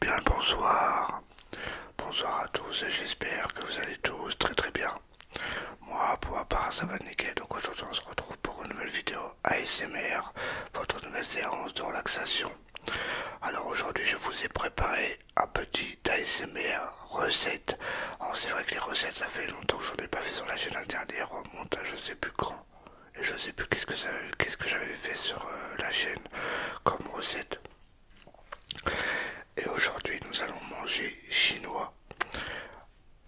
Bien bonsoir, bonsoir à tous et j'espère que vous allez tous très très bien. Moi, pour part, ça va nickel, donc aujourd'hui on se retrouve pour une nouvelle vidéo ASMR, votre nouvelle séance de relaxation. Alors aujourd'hui, je vous ai préparé un petit ASMR recette. Alors c'est vrai que les recettes, ça fait longtemps que je n'en ai pas fait sur la chaîne, interdit, des remonte à je sais plus quand. Et je sais plus qu'est-ce que, j'avais fait sur euh, la chaîne comme recette. Et aujourd'hui, nous allons manger chinois.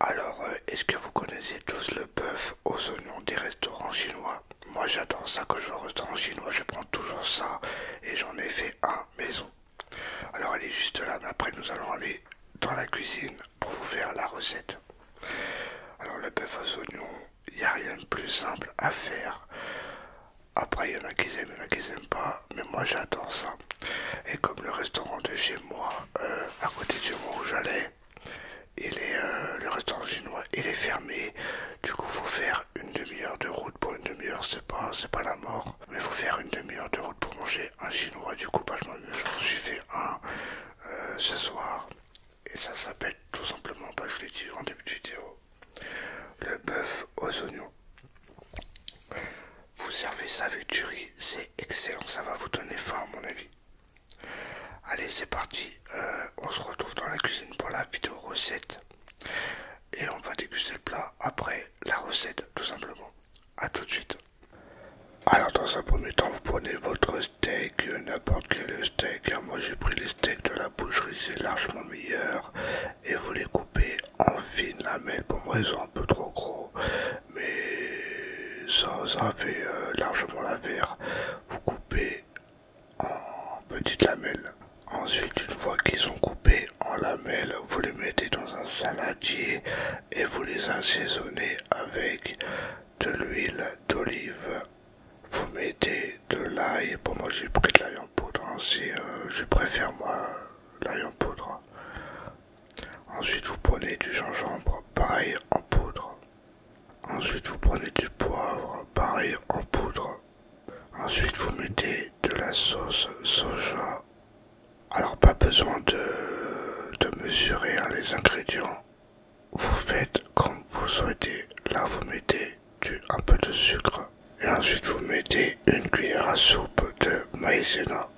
Alors, euh, est-ce que vous connaissez tous le bœuf aux oignons des restaurants chinois Moi j'adore ça quand je vais au restaurant chinois, je prends toujours ça et j'en ai fait un maison. Alors elle est juste là, mais après nous allons aller dans la cuisine pour vous faire la recette. Alors le bœuf aux oignons, il n'y a rien de plus simple à faire. Après il y en a qui aiment, il y en a qui n'aiment pas, mais moi j'adore ça. Et comme le restaurant de chez moi, euh, à côté de chez moi où j'allais, euh, le restaurant chinois il est fermé. Du coup, faut faire une demi-heure de route. Pour une demi-heure, c'est pas, pas la mort. Mais faut faire une demi-heure de route pour manger un chinois. Du coup, bah, je m'en suis fait un euh, ce soir. Et ça s'appelle tout simplement, pas bah, je l'ai dit en début de vidéo, le bœuf aux oignons. Vous servez ça avec du riz, c'est excellent, ça va vous donner faim à mon avis. Allez, c'est parti, euh, on se retrouve dans la cuisine pour la vidéo recette. Et on va déguster le plat après la recette, tout simplement. à tout de suite. Alors dans un premier temps, vous prenez votre steak, n'importe quel steak. Hein. Moi j'ai pris les steaks de la boucherie, c'est largement meilleur. Et vous les coupez en la lamelles, Pour moi, ils sont un peu trop gros, mais ça, fait euh, largement la l'affaire. Vous coupez en petites lamelles. Ensuite, une fois qu'ils sont coupés en lamelles, vous les mettez dans un saladier et vous les assaisonnez avec de l'huile d'olive. Vous mettez de l'ail. Pour moi, j'ai pris de l'ail en poudre. Hein, euh, je préfère moi l'ail en poudre. Ensuite, vous prenez du gingembre, pareil en poudre. Ensuite, vous prenez du poivre, pareil en poudre. Ensuite, vous mettez de la sauce soja. Alors, pas besoin de, mesurer hein, les ingrédients. Vous faites comme vous souhaitez. Là, vous mettez un peu de sucre. Et ensuite, vous mettez une cuillère à soupe de maïzena.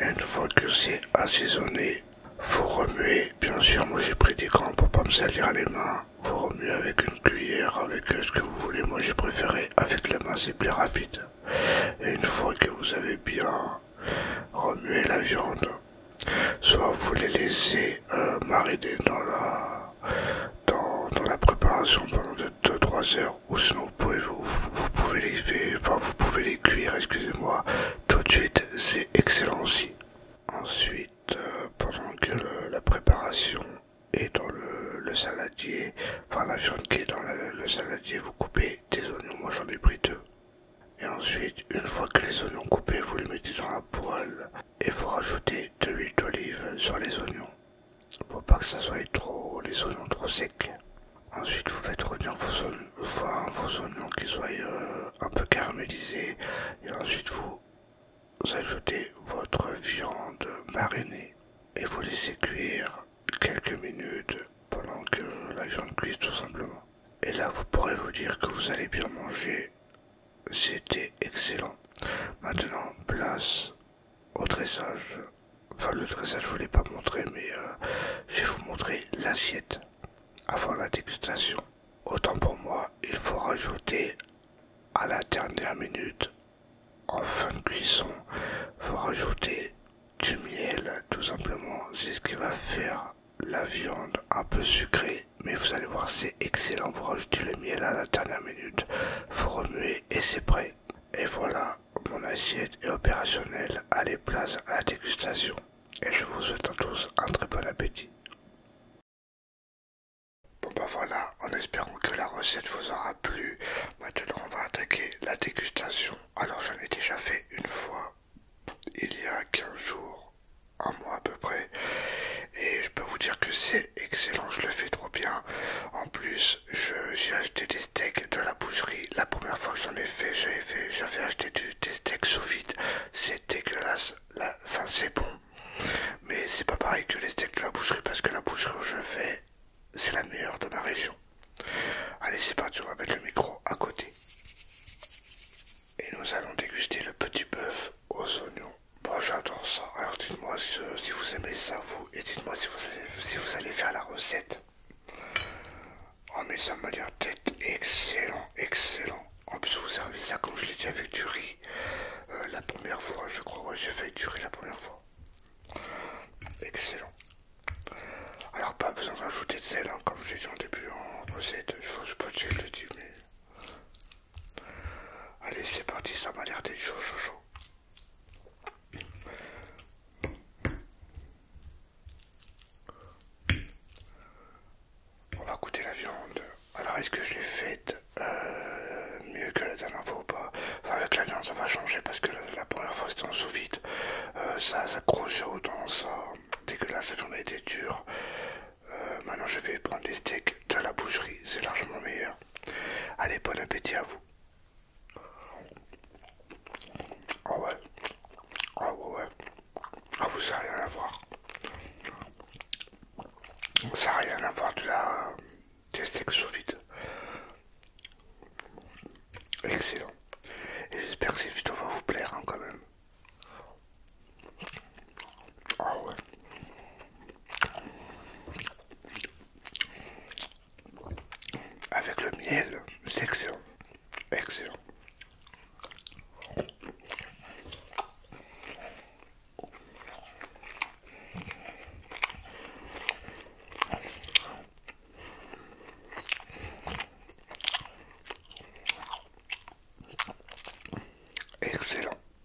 une fois que c'est assaisonné, vous remuez. Bien sûr, moi j'ai pris des grands pour pas me salir les mains. Vous remuez avec une cuillère, avec ce que vous voulez. Moi j'ai préféré avec la main, c'est plus rapide. Et une fois que vous avez bien remué la viande, soit vous les laissez euh, mariner dans la, dans la préparation pendant 2-3 heures ou sinon vous pouvez, vous, les, vous pouvez les cuire, excusez-moi, tout de suite, c'est excellent aussi. Ensuite, euh, pendant que la préparation est dans le, saladier, enfin la viande qui est dans le saladier, vous coupez des oignons, moi j'en ai pris deux. Et ensuite, une fois que les oignons coupés, vous les mettez dans la poêle et vous rajoutez de l'huile d'olive sur les oignons pour pas que ça soit trop les oignons trop secs. Ensuite vous faites revenir vos, oignons, vos oignons qui soient euh, un peu caramélisés et ensuite vous ajoutez votre viande marinée et vous laissez cuire quelques minutes pendant que la viande cuise tout simplement. Et là vous pourrez vous dire que vous allez bien manger. C'était excellent. Maintenant place au dressage. Enfin, le dressage, je ne voulais pas montrer, mais euh, je vais vous montrer l'assiette avant la dégustation. Autant pour moi, il faut rajouter à la dernière minute, en fin de cuisson, faut rajouter du miel, tout simplement. C'est ce qui va faire la viande un peu sucrée, mais vous allez voir, c'est excellent. Vous rajoutez le miel à la dernière minute, faut remuer et c'est prêt. Et voilà, mon assiette est opérationnelle. Allez, place à la dégustation. Et je vous souhaite à tous un très bon appétit. Bon bah voilà, en espérant que la recette vous aura plu, maintenant on va attaquer la dégustation. Alors j'en ai déjà fait une fois, il y a 15 jours, un mois à peu près, et je peux vous dire que c'est excellent, je le fais trop bien. En plus, j'ai acheté des steaks de la boucherie. La première fois que j'en ai fait, j'avais acheté du, des steaks sous vide. C'est dégueulasse. La, enfin, c'est bon. Mais c'est pas pareil que les steaks de la boucherie parce que la boucherie où je vais, c'est la meilleure de ma région. Allez, c'est parti, on va mettre le micro à côté. Et nous allons déguster le petit bœuf aux oignons. Bon, j'adore ça. Alors dites-moi si, vous aimez ça, vous, et dites-moi si, si, vous allez faire la recette. Oh, mais ça m'a l'air tête excellent, excellent. En plus, vous servez ça, comme je l'ai dit, avec du riz euh, la première fois, je crois. Ouais, j'ai fait du riz la première fois. Excellent. Alors, pas besoin d'ajouter de sel, comme hein, comme j'ai dit en début en recette. Je sais pas si je le dis, mais Allez, c'est parti, ça m'a l'air d'être chaud, chaud, chaud. On va goûter la viande. Alors, est-ce que je l'ai faite euh, mieux que la dernière fois ou pas Enfin, avec la viande, ça va changer parce que la, première fois c'était en sous vide. Euh, ça, ça autant, ça dégueulasse, la ça a été dure. Euh, maintenant, je vais prendre les steaks de la boucherie, c'est largement meilleur. Allez, bon appétit à vous. Ah ouais. Ah ouais, Ah vous, ça n'a rien à voir. Ça n'a rien à voir de la... des vide. Excellent. Et j'espère que cette vidéo va vous plaire hein, quand même. Ah Avec le miel, c'est excellent. Excellent. Excellent.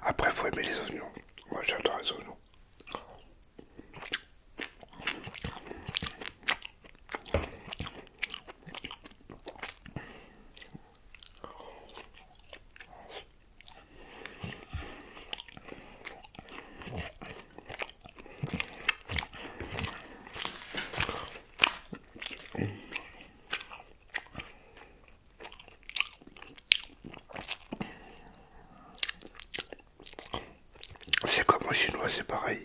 Après, faut aimer les oignons. Moi, j'adore les oignons. C'est comme au chinois, c'est pareil.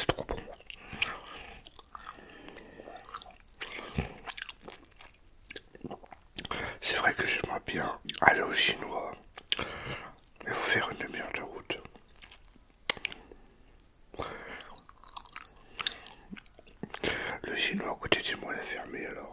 C'est trop bon. C'est vrai que j'aimerais bien aller au chinois. Il vous faire une demi-heure de route. Le chinois à côté moi l'a fermé alors.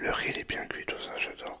Le riz est bien cuit, tout ça, j'adore.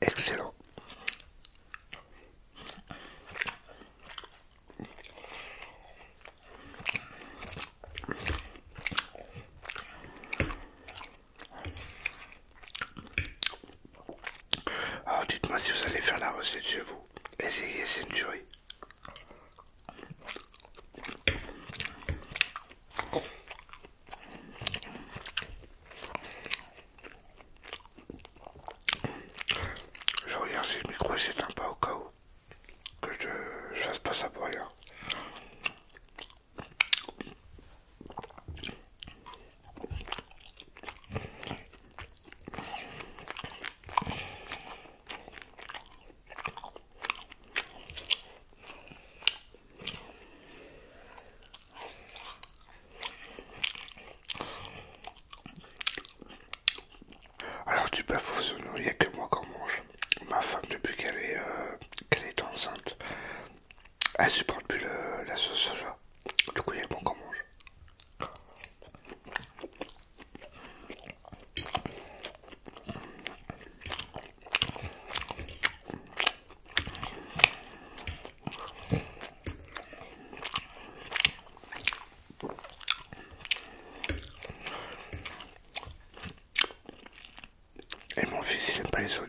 Excellent. Ah, dites-moi si vous allez faire la recette chez vous. Essayez, c'est une tuerie. Je regarde si le micro s'éteint pas au cas où que je, je fasse pas ça pour rien. Alors tu peux nom, il n'y a que moi qu'on mange. Ma femme depuis qu'elle est, euh, est enceinte, elle supporte plus la sauce soja. Du coup il y a moi qu'on mange. Et mon fils, il n'aime pas les oignons.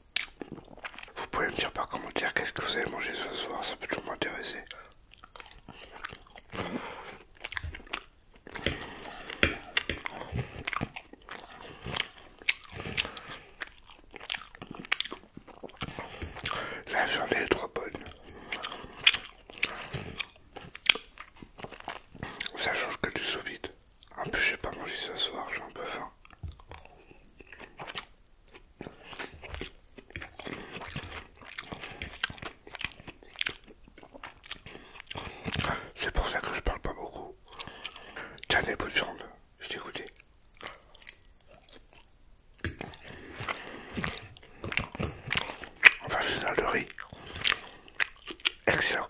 Vous pouvez me dire par commentaire qu'est-ce que vous avez mangé ce soir, ça peut toujours m'intéresser. La journée est trop bonne. Ça change que du sous vide. En plus, j'ai pas mangé ce soir, j'ai un peu faim. C'est pour ça que je parle pas beaucoup. Tiens, les bouts de je t'ai On va finir le riz. Excellent.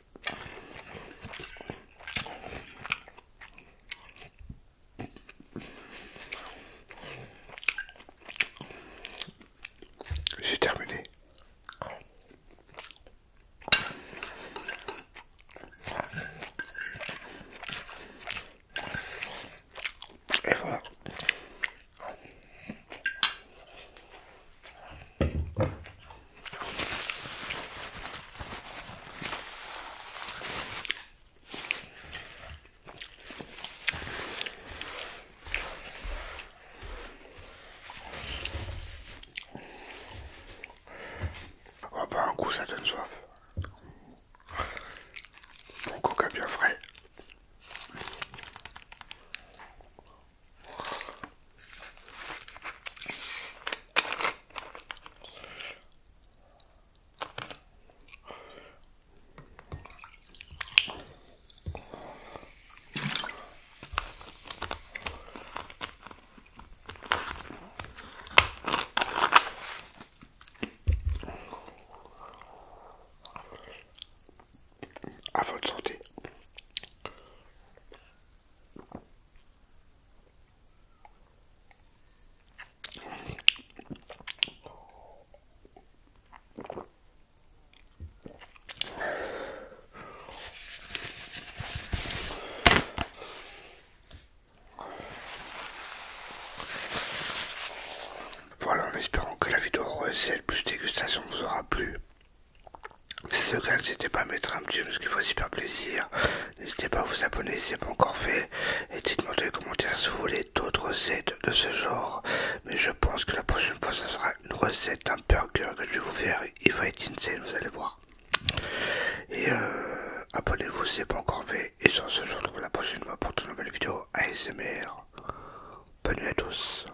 J'ai terminé. Et Oh bah un coup ça donne soif. Bon coca bien frais. À votre santé. Voilà, en espérant que la vidéo recette plus dégustation vous aura plu. Si ce cas, n'hésitez pas à mettre un petit parce qu'il qu'il fait super plaisir. N'hésitez pas à vous abonner si ce n'est pas encore fait. Et dites-moi dans les commentaires si vous voulez d'autres recettes de ce genre. Mais je pense que la prochaine fois, ça sera une recette d'un burger que je vais vous faire. Il va être insane, vous allez voir. Et euh, abonnez-vous si ce n'est pas encore fait. Et sur ce, je vous retrouve la prochaine fois pour de nouvelles vidéos ASMR. Bonne nuit à tous.